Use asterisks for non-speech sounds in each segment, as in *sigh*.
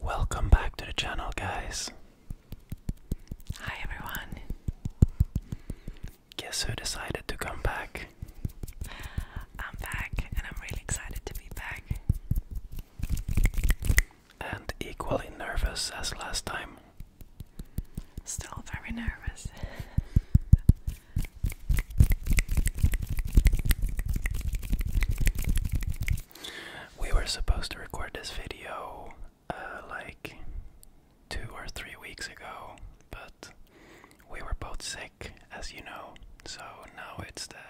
Welcome back to the channel, guys. Hi, everyone. Guess who decided to come back? I'm back, and I'm really excited to be back. And equally nervous as last time. Still very nervous. we were supposed to record this video uh, like two or three weeks ago, but we were both sick, as you know, so now it's the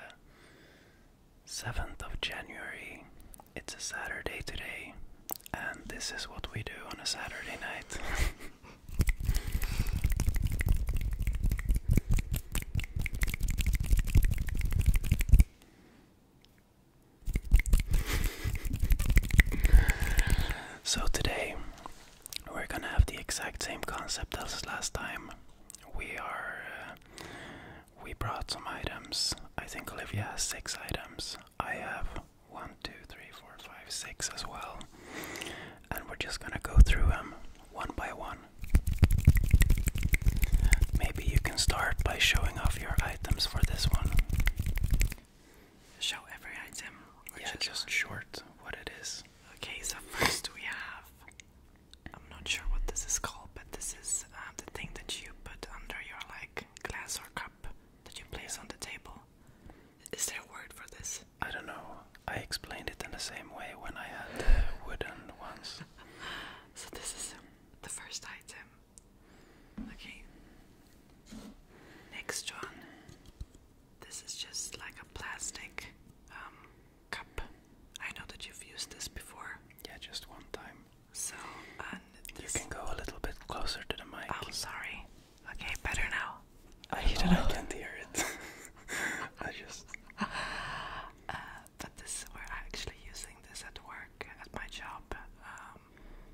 7th of January. It's a Saturday today, and this is what we do on a Saturday night. so today we're gonna have the exact same concept as last time. We are. Uh, we brought some items. I think Olivia has six items. I have 1, 2, 3, 4, 5, 6 as well. And we're just gonna go through them one by one. Maybe you can start by showing off your items for this one. Show every item? Or yeah, just short what it is. Okay, so first we have. I'm not sure what this is called, but this is uh, the thing that you put under your like glass or cup that you place on the table. Is there a word for this? I don't know. I explained it in the same way when I had wooden ones. *laughs* so this is um, the first item. Okay. Next one. This is just like a plastic um, cup. I know that you've used this before. Yeah, just one time. So uh, you can go a little bit closer to the mic. I'm oh, sorry. Okay, better now. I, don't hear it. *laughs* I just. Uh, but this, we're actually using this at work, at my job, um,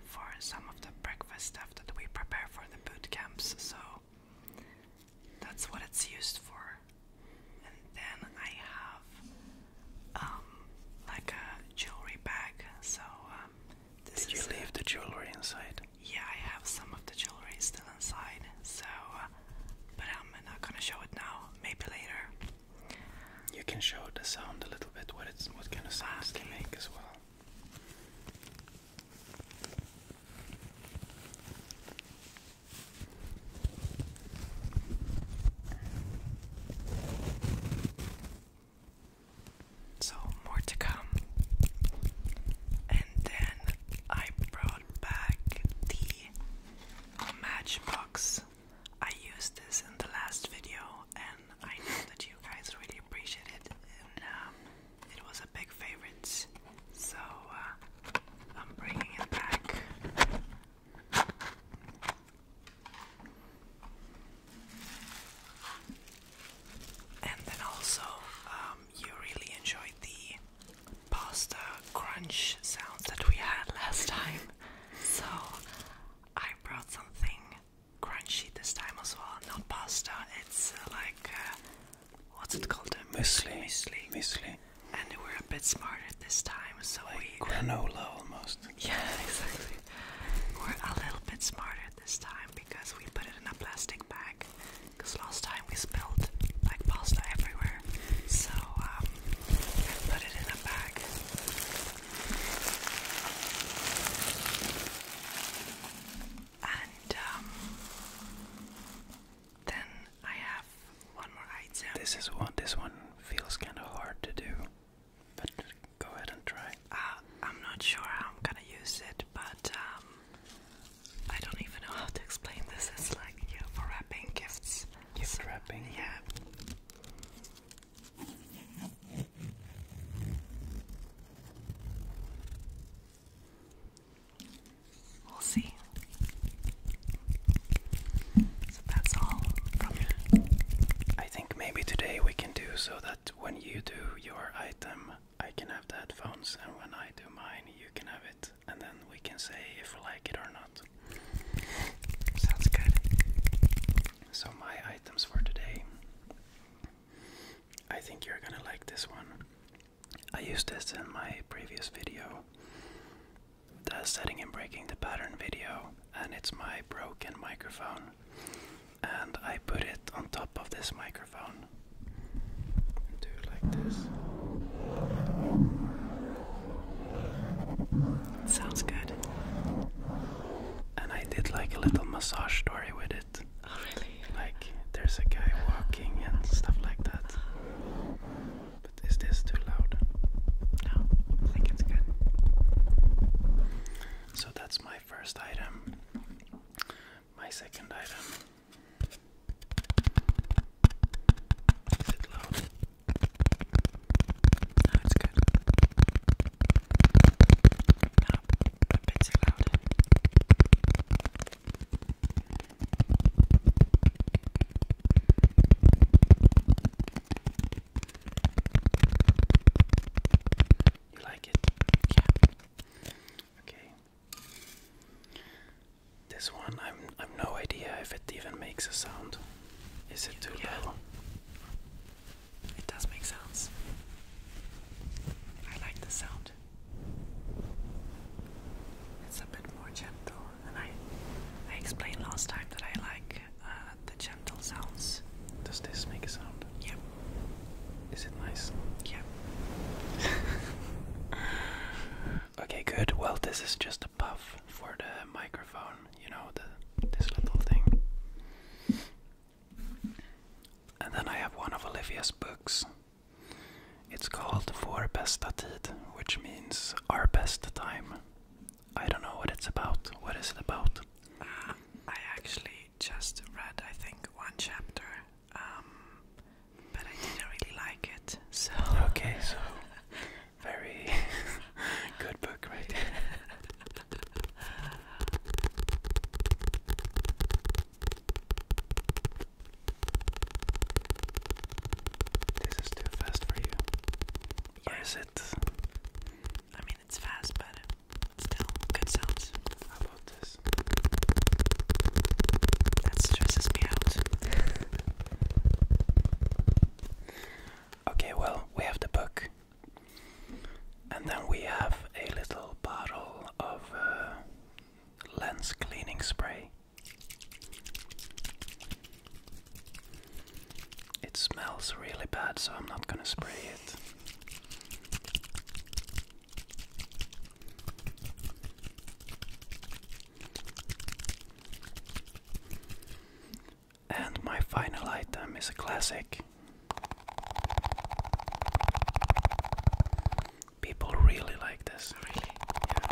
for some of the breakfast stuff that we prepare for the boot camps. So that's what it's used for. And then I have um, like a jewelry bag, so um, did you leave the jewelry inside? Yeah, I have some of the jewelry still inside, so uh, but I'm not gonna show it now. Maybe later. You can show the sound a little bit. What it's what kind of sounds can make as well. So, more to come. And then I brought back the Matchbox. I used this in the last video, and I know that you guys really appreciate it, um, it was a big favorite. So, uh, I'm bringing it back. And then also, um, you really enjoyed the pasta crunch sounds that we had *laughs* last time. So I brought something crunchy this time as well. Not pasta, it's uh, like, uh, what's it called? A uh, muesli. Muesli. muesli. And we're a bit smarter this time, so like Granola almost. *laughs* Yeah, exactly. We're a little bit smarter this time because we put it in a plastic bag. Because last time we spilled like pasta everywhere. So um, put it in a bag. And um, then I have one more item. This is one. This one feels kind of hard to do. But go ahead and try. Uh, I'm not sure how I'm gonna use it, but um, I don't even know how to explain this. It's like you know, for wrapping gifts. Gift wrapping. Yeah. We'll see. So that's all from me. I think maybe today we can do so that when you do your item, I can have the headphones, and when I do mine, you can have it, and then we can say if we like it or not. Sounds good. So, my items for today I think you're gonna like this one. I used this in my previous video, the setting and breaking the pattern video, and it's my broken microphone and I put it on top of this microphone. do like this. Sounds good. And I did like a little massage story with it. Oh really? Like there's a guy walking and stuff like that. But is this too loud? No, I think it's good. So that my first item. My second item. Is it loud? No, it's good. No, too loud. You like it? Yeah. Okay. This one, I'm I've no idea if it even makes a sound. Is it too loud? It does make sounds. I like the sound. It's a bit more gentle, and I I explained last time that I like uh, the gentle sounds. Does this make a sound? Yep. Is it nice? Yep. *laughs* okay, good. Well, this is just a puff for the microphone. You know, the this little thing. And then I have one of Olivia's books. It's called Vår bästa tid, which means our best time. I don't know what it's about. What is it about? Uh, I actually just read, I think, one chapter, um, but I didn't really like it. So okay, so very *laughs* good book, right? *laughs* This is too fast for you. is it I mean, it's fast, but still good sounds. How about this? That stresses me out. okay, well, we have the book. And then we have a little bottle of uh, lens cleaning spray. It smells really bad, so I'm not gonna spray it. And my final item is a classic. People really like this. Really? Yeah.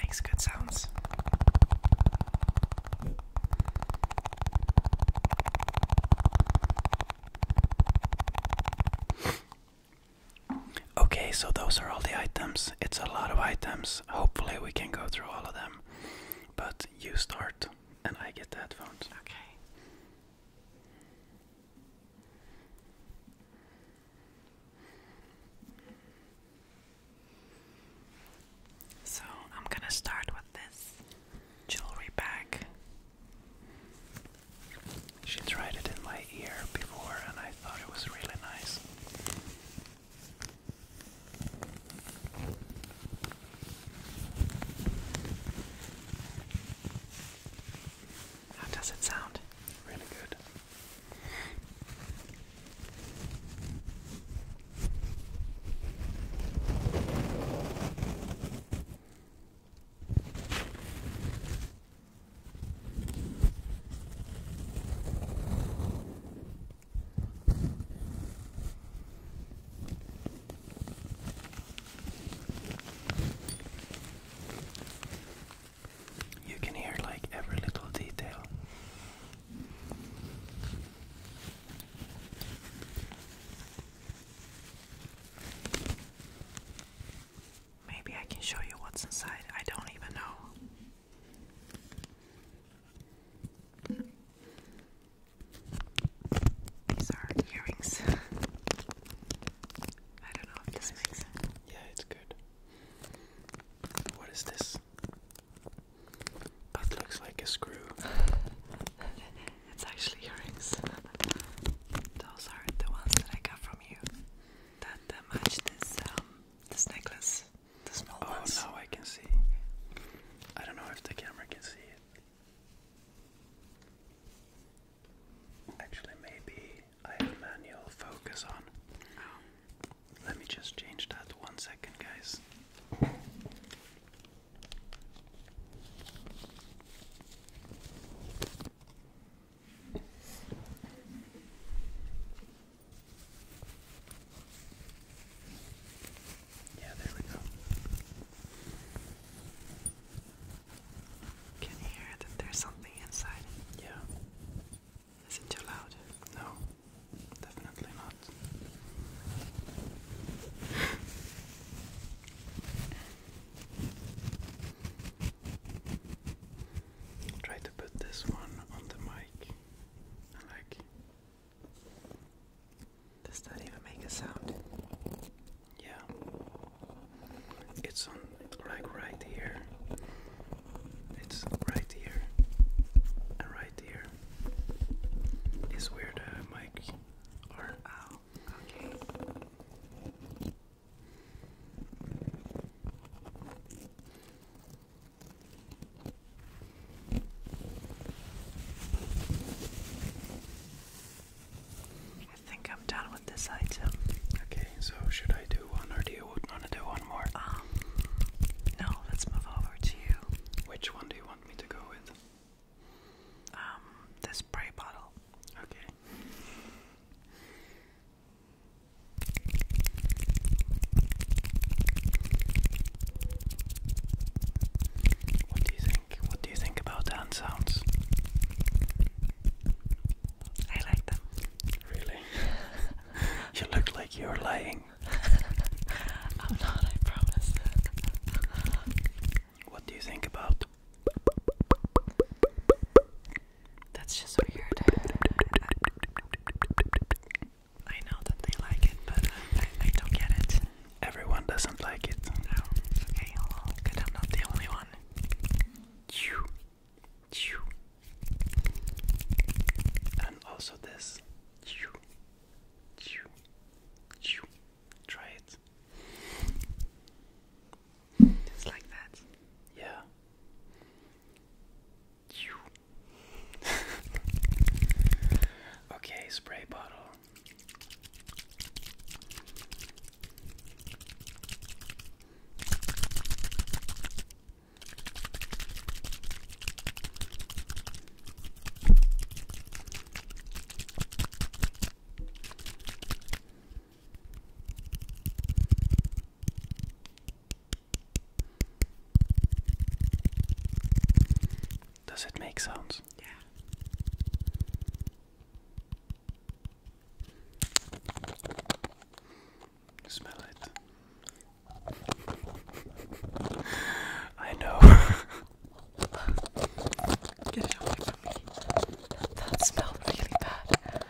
Makes good sounds. Okay, so those are all the items. It's a lot of items. Hopefully, we can go through all of them. But you start, and I get the headphones. Okay. So I'm gonna start with this jewelry bag. She tried it in my ear before and I thought it was really nice. How does it sound? Really good. You can hear like every little detail Maybe I can show you what's inside. I don't even know. These are earrings. *laughs* I don't know if this makes sense. Yeah, it's good. What is this? That looks like a screw. *laughs* it's actually earrings. Those are the ones that I got from you. That, uh, match this um this necklace. The small oh, ones. Oh now I can see. I don't know if the camera can see it. Actually maybe I have manual focus on. Oh. Let me just change that one second, guys. Yeah, there we go. Can hear that there's something inside? Yeah. Is it too loud? No. Definitely not. Try to put this one on the mic like does that even make a sound? Yeah. It's on like right here. It's right here and right here is where the mic Oh, I think I'm done with this item. Okay, so should I do one or do you would want to do one more? Um, no, let's move over to you. Which one do you want me to go with? Um, the spray bottle. Okay. What do you think? What do you think about hand sounds? I like them. Really? *laughs* you look like you're lying. *laughs* what do you think about? That's just weird. I know that they like it, but I, don't get it. Everyone doesn't like it. No. Oh, okay, good. I'm not the only one. Chew. Chew. And also this. Try it. Just like that. Yeah. *laughs* okay, spray bottle. Does it make sounds? Yeah. Smell it. *laughs* I know. Get it away from me. That smelled really bad.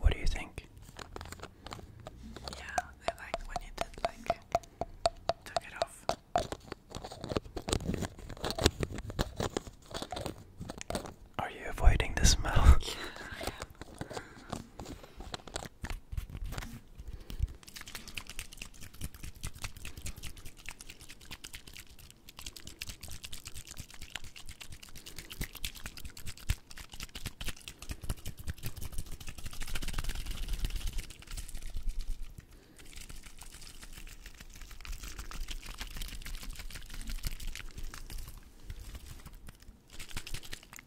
What do you think? Yeah, I like when you did like took it off. Are you avoiding the smell? *laughs* yeah, I am.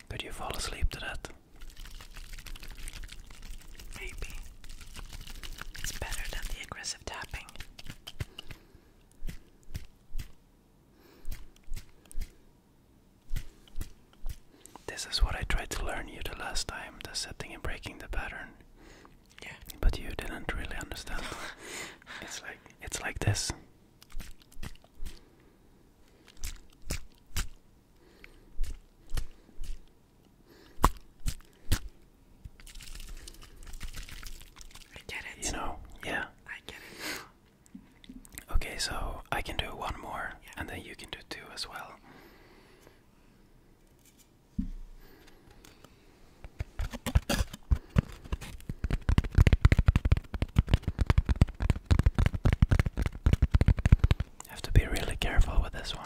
Could you fall asleep to that? Maybe. It's better than the aggressive tapping. This is what I tried to learn you the last time, the setting and breaking the pattern. Yeah. But you didn't really understand. *laughs* it's like it's like this. I get it. You know, yeah. I get it. Okay, so I can do one more, and then you can do two as well. Have to be really careful with this one.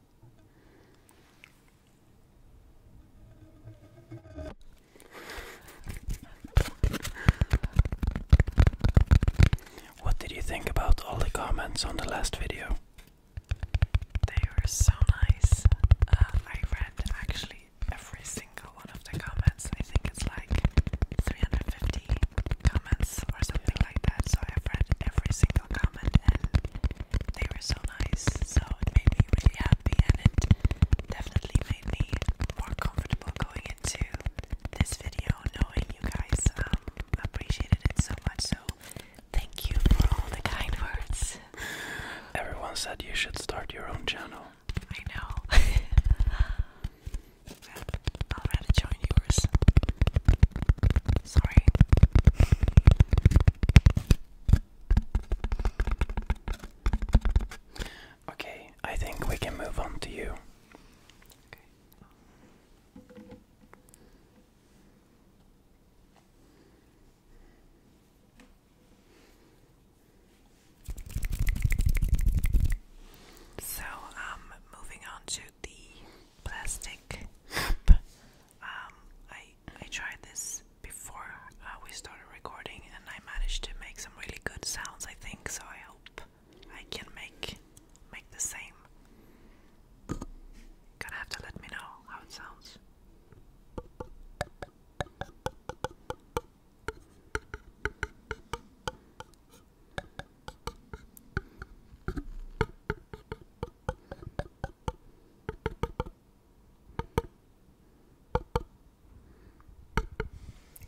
What did you think about all the comments on the last video? They were so nice. Uh, I read actually every single one of the comments. I think it's like 350 comments or something so I've read every single comment and they were so nice. So it made me really happy and it definitely made me more comfortable going into this video knowing you guys um, appreciated it so much. So thank you for all the kind words. Everyone said you should start your own channel. I know. *laughs* I'll rather join yours. Sorry. Okay, I think we can move on to you. Okay. So, um, moving on to the plastic *laughs* Um, I I tried this before uh, we started recording, and I managed to make some really good sounds. I think so. I hope I can make make the same. Gonna have to let me know how it sounds.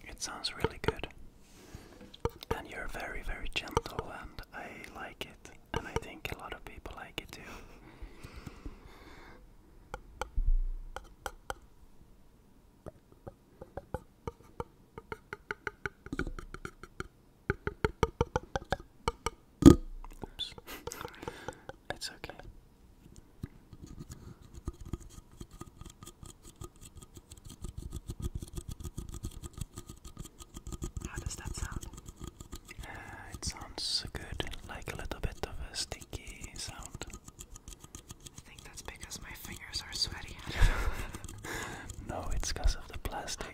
It sounds really good. And you're very, very gentle, and I like it. And I think a lot of people like it too. *laughs* It's okay. How does that sound? Uh, it sounds good, like a little bit of a sticky sound. I think that's because my fingers are sweaty. *laughs* *laughs* no, it's because of the plastic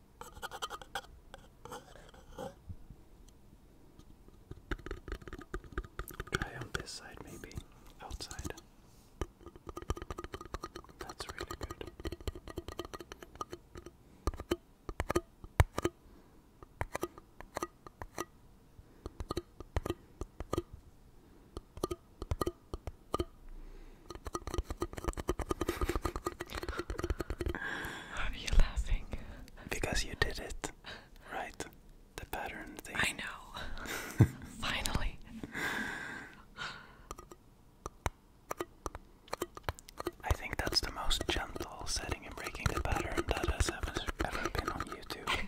Try on this side, maybe outside. That's really good. Are you laughing? Because you did it, right? The pattern thing. I know. *laughs* Finally. I think that's the most gentle setting and breaking the pattern that has ever been on YouTube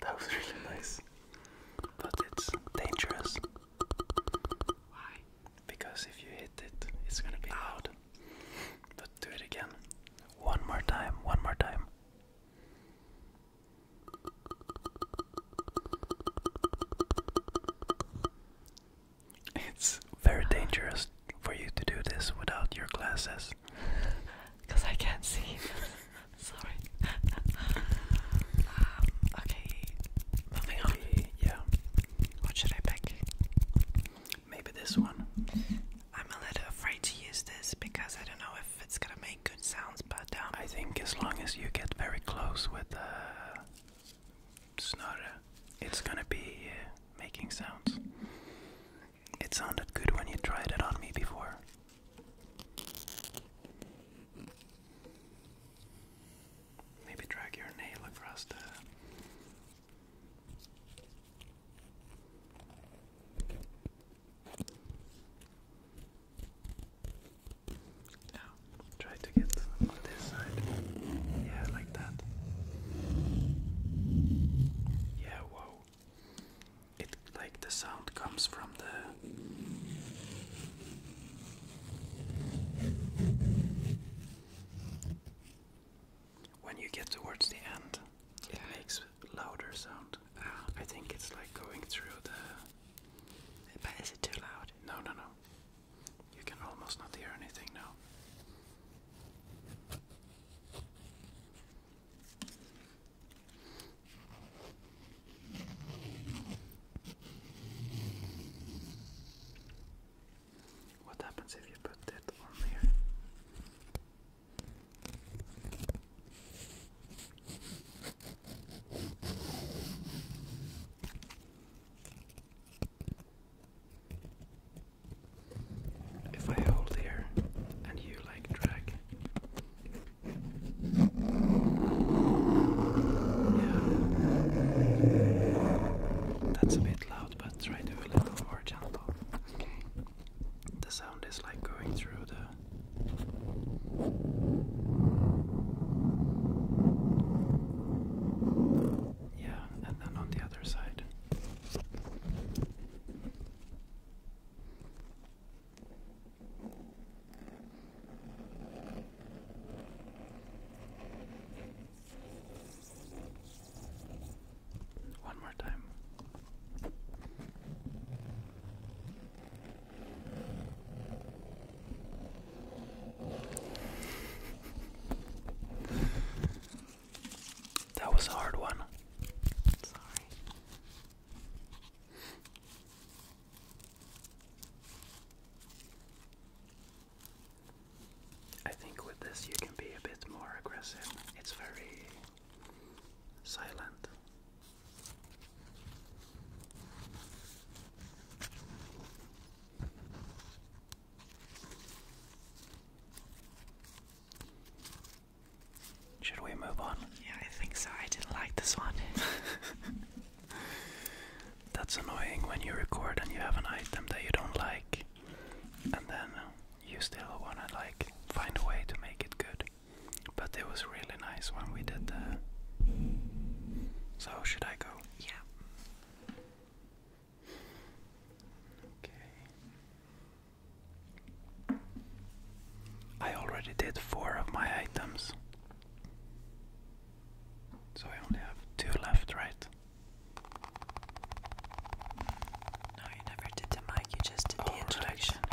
that was really, nice. But it's dangerous. Why? Because if you hit it, it's gonna be oh. loud. But do it again. One more time, one more time. It's very dangerous for you to do this without your glasses. Because *laughs* I can't see. *laughs* Sorry. Um, okay. Moving on. Yeah. What should I pick? Maybe this one. I'm a little afraid to use this because I don't know if it's gonna make good sounds, but um, I think as long as you get very close with the uh, Snorre, it's gonna be uh, making sounds. It sounded good when you tried it on me before. Maybe drag your nail across the. Now, try to get on this side. Yeah, like that. Yeah, whoa. It like the sound comes from the when you get towards the end, it makes louder sound. Ah. I think it's like going through the but is it too loud? No, no, no. You can almost not hear anything now. What happens if you put that on here? If I hold here and you like drag, yeah, that's a bit loud, but try to a little more gentle. Okay. The sound is like going through the yeah, and then on the other side. One more time. That was a hard one. Sorry. I think with this you can be a bit more aggressive. It's very silent. Should we move on? Yeah, I think so. I didn't like this one. *laughs* That's annoying when you record and you have an item that you don't like, and then you still want to like find a way to make it good. But it was really nice when we did that. So, should I go? Yeah. Okay. I already did four of my items. So I only have two left, right? No, you never did the mic, you just did the oh, introduction. Right.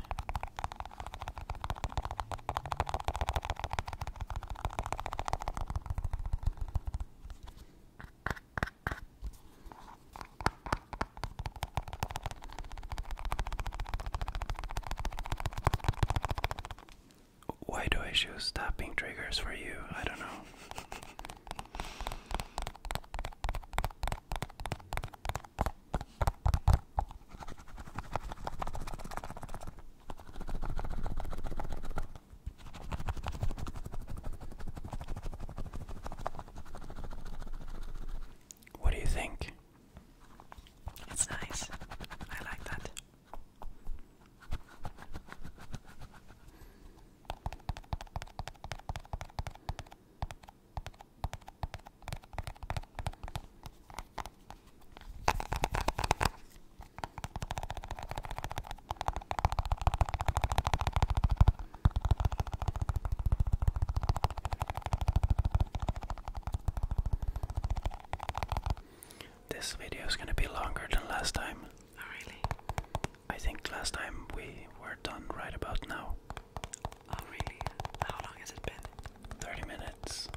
Why do I choose stopping triggers for you? I don't know. What do you think? It's nice. I like that. This video is going to be longer than last time. Oh, really? I think last time we were done right about now. Oh, How long has it been? 30 minutes.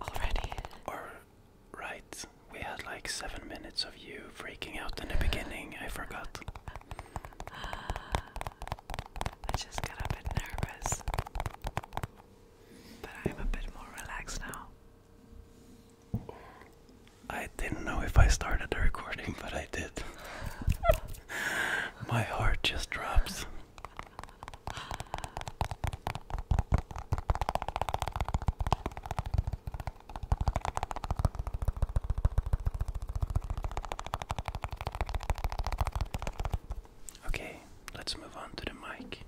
Already? Or, right, we had like 7 minutes of you freaking out in the beginning, I forgot. *laughs* I just got a bit nervous. But I'm a bit more relaxed now. I didn't know if I started the recording, but I did. *laughs* My heart just drops. Okay, let's move on to the mic.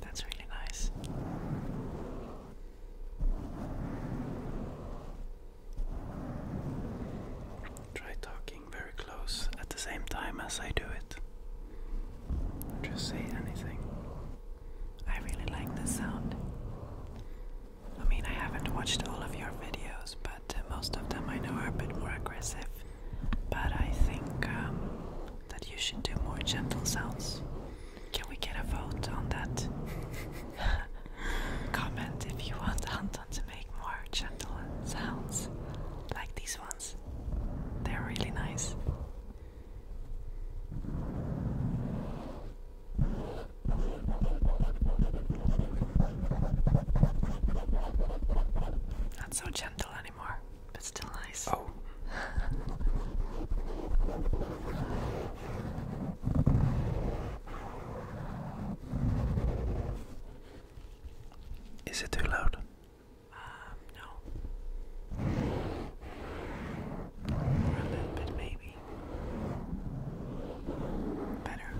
That's really nice. Try talking very close at the same time as I do it. Just say anything. I really like the sound. I mean, I haven't watched all of your videos, but uh, most of them I know are a bit more aggressive. But I think um, that you should do more gentle sounds. Can we get a vote on that? *laughs* Comment if you want Anton to make more gentle sounds like these ones. They're really nice. Not so gentle anymore, but still nice. Oh, is it too loud? Um, no. a little bit, maybe. Better.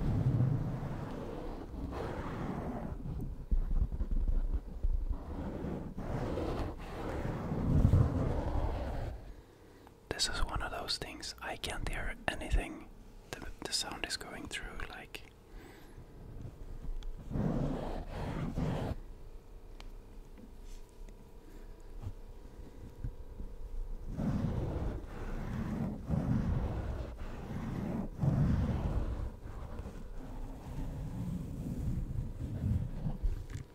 This is one of those things I can't hear anything. The, sound is going through like.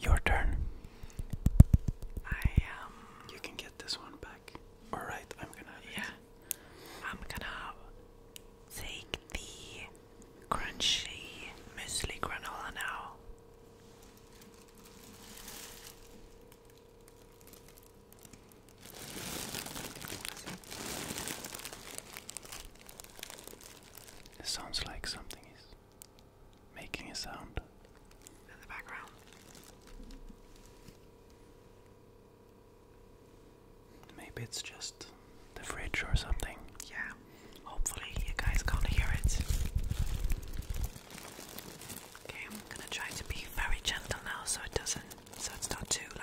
Your turn. I um you can get this one back. Alright, I'm gonna yeah. I'm gonna take the crunchy muesli granola now. It sounds like something is making a sound in the background. Maybe it's just the fridge or something. Yeah, Hopefully, you guys can't hear it. Okay, I'm gonna try to be very gentle now so it doesn't, so it's not too loud.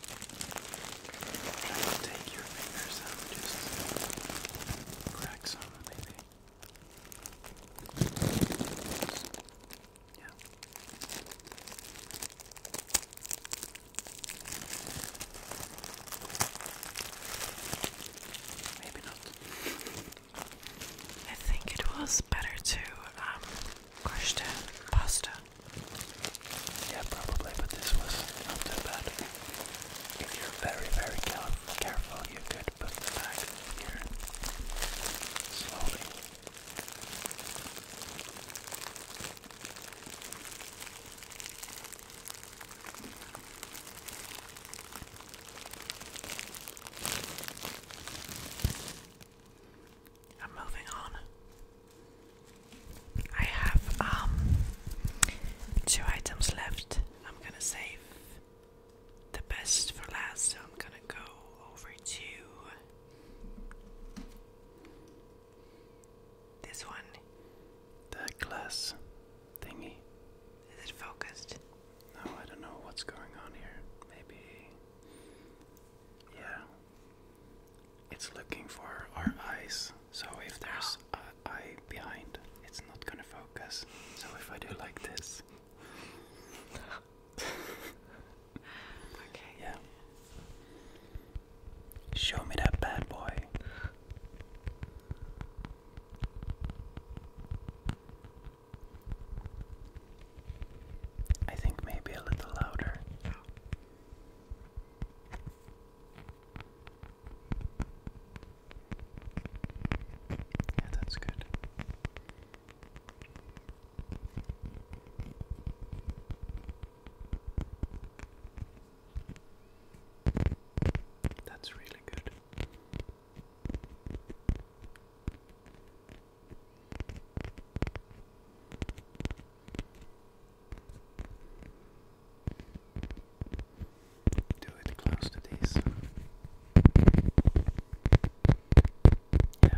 Try to take your fingers out, just crack some, maybe. Yeah. Maybe not. I think it was better to um, crush the pasta yeah, probably, but this was not too bad. If you're very, very careful, you could put the bag here slowly. I'm moving on. I have um two items left. I'm gonna save the best for last, so I'm gonna go over to this one. The glass thingy. Is it focused? No, I don't know what's going on here. Maybe. Yeah, it's looking for our eyes. So if there's an eye behind, it's not gonna focus. So if I do like this, okay, yeah, show me that bad boy. I think maybe a little louder. Oh. Yeah, that's good. That's really good. Do it close to these. Yeah.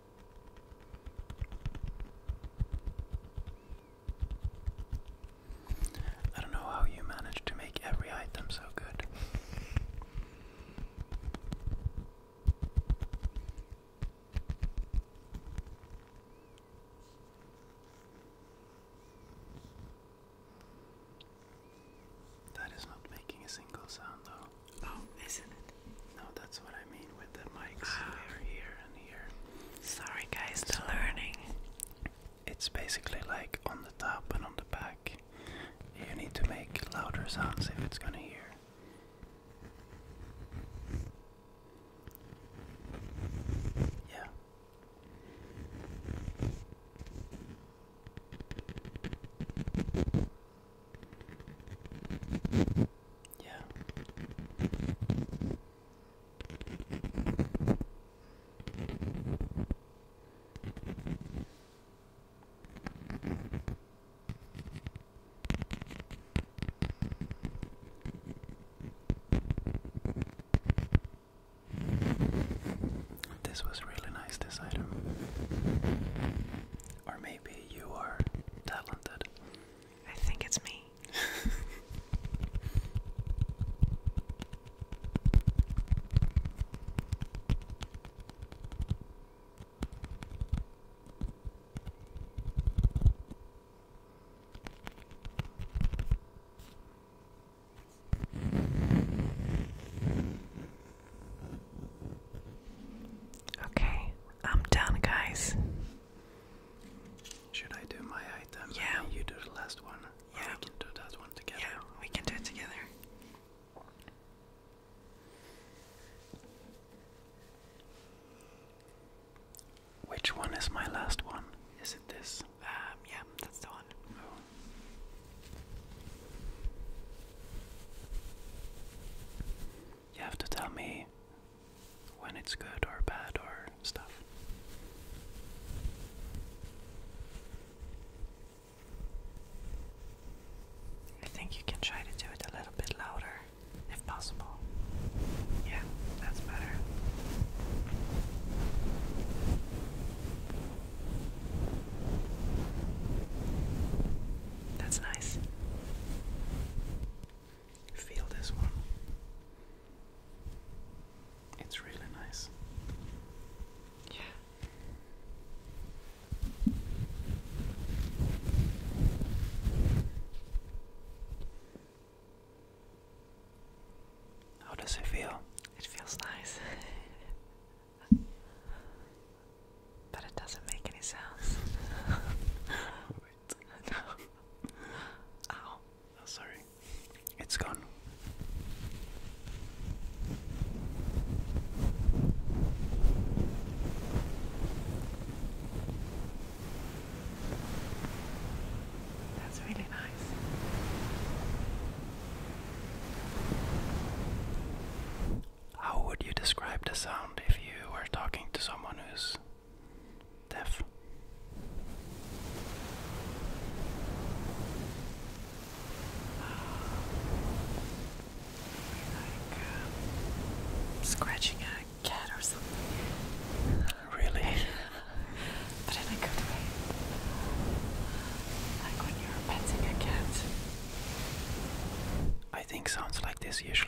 I don't know how you managed to make every item so good. That is not making a single sound, though. Oh, isn't it? No, that's what I mean with the mics. Ah. here and here. Sorry, guys, the learning. It's basically like on the top and on the back. You need to make louder sounds if it's gonna hear. Yeah. Yeah. This was really nice, this item. Or maybe you are talented. I think it's me. *laughs* Okay, I'm done, guys. Should I do my item? Yeah. you do the last one. Yeah. we can do that one together. Yeah, we can do it together. Which one is my last one? Is it this? Um, yeah, that's the one. You have to tell me when it's good or bad or stuff. I think you can try to do it a little bit louder if possible. Yeah, that's better. That's nice. Feel this one. It's really nice. Yeah. How does it feel? It feels nice. *laughs* But it doesn't make any sounds. *laughs* Oh, sorry. It's gone. That's really nice. How would you describe the sound if you were talking to someone who's deaf? like scratching a cat or something. Really? *laughs* but in a good way. Like when you're petting a cat. I think sounds like this usually.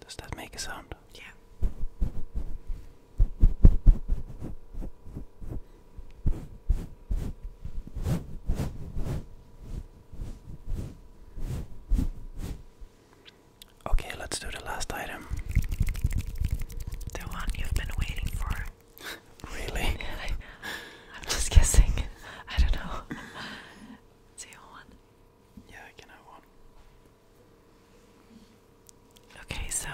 Does that make a sound? Yeah. Okay, let's do the last item. The one you've been waiting for. *laughs* really? *laughs* I, am just guessing. I don't know. *laughs* It's your one. Yeah, I can have Okay, so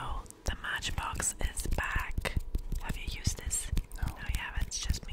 the matchbox is back. Have you used this? No. No, you It's just me.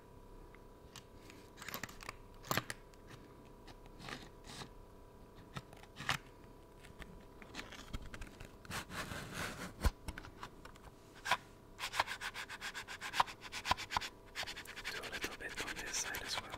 Do a little bit on this side as well.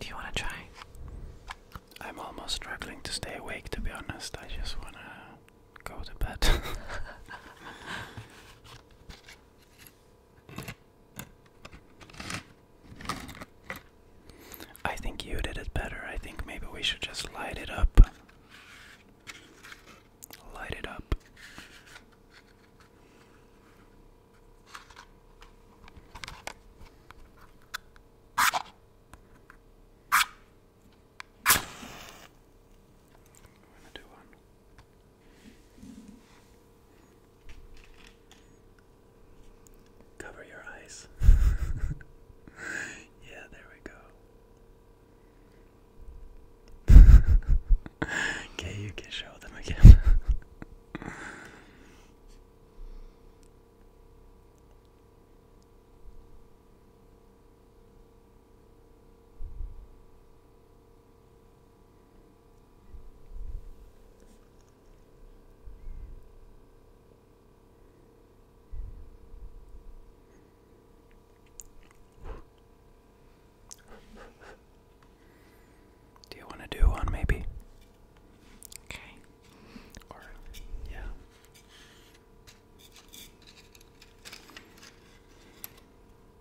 Do you want to try? I'm almost struggling to stay awake, to be honest. I just want to go to bed. *laughs* *laughs* I think you did it better. I think maybe we should just light it up. Light it up. Cover your eyes. *laughs* yeah, there we go. *laughs* okay, you can show them again. Do you want to do one, maybe? Okay. yeah.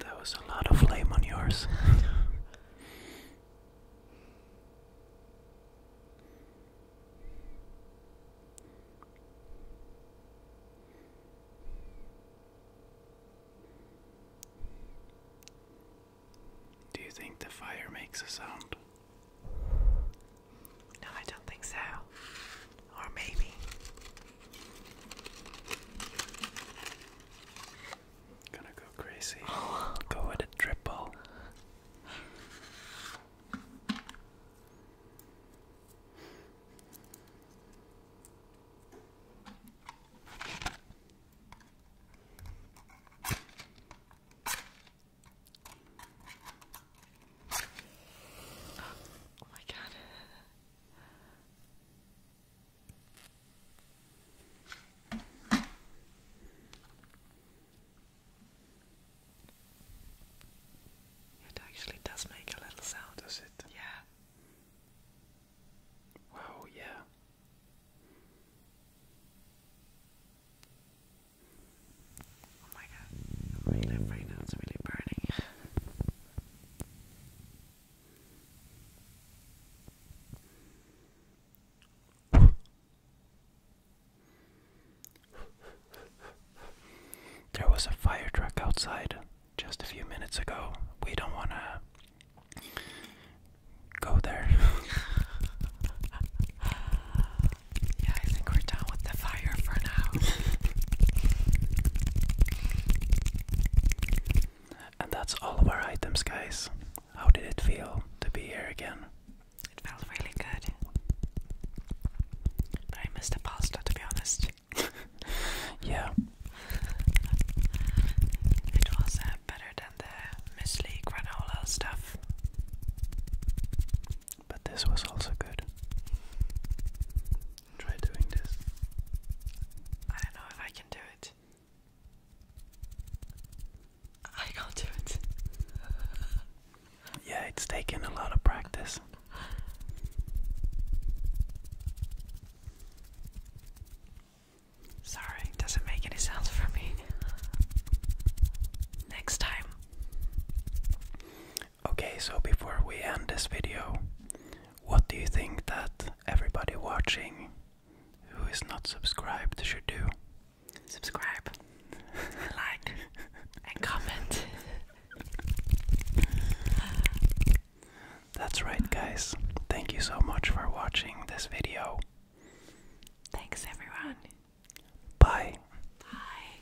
That was a lot of flame on yours. *laughs* Do you think the fire makes a sound? No, I don't think so. Or maybe. Gonna go crazy. Go with a triple. Oh my god. It actually does make a little sound, does it? Yeah. Wow, yeah. Oh my god, right now it's really burning. There was a fire truck outside just a few minutes ago. We don't want to go there. *laughs* yeah, I think we're done with the fire for now. *laughs* And that's all of our items, guys. How did it feel to be here again? It felt really good. I missed the pasta, to be honest. *laughs* yeah. It was uh, better than the muesli granola stuff. But this was also good. Try doing this. I don't know if I can do it. I can't do it. *laughs* yeah, it's taken a lot of practice. Sorry, doesn't make any sense for me. Next time. Okay, so before we end this video, what do you think that everybody watching who is not subscribed should do? Subscribe, like, and comment. That's right, guys. Thank you so much for watching this video. Thanks, everyone. Bye. Bye.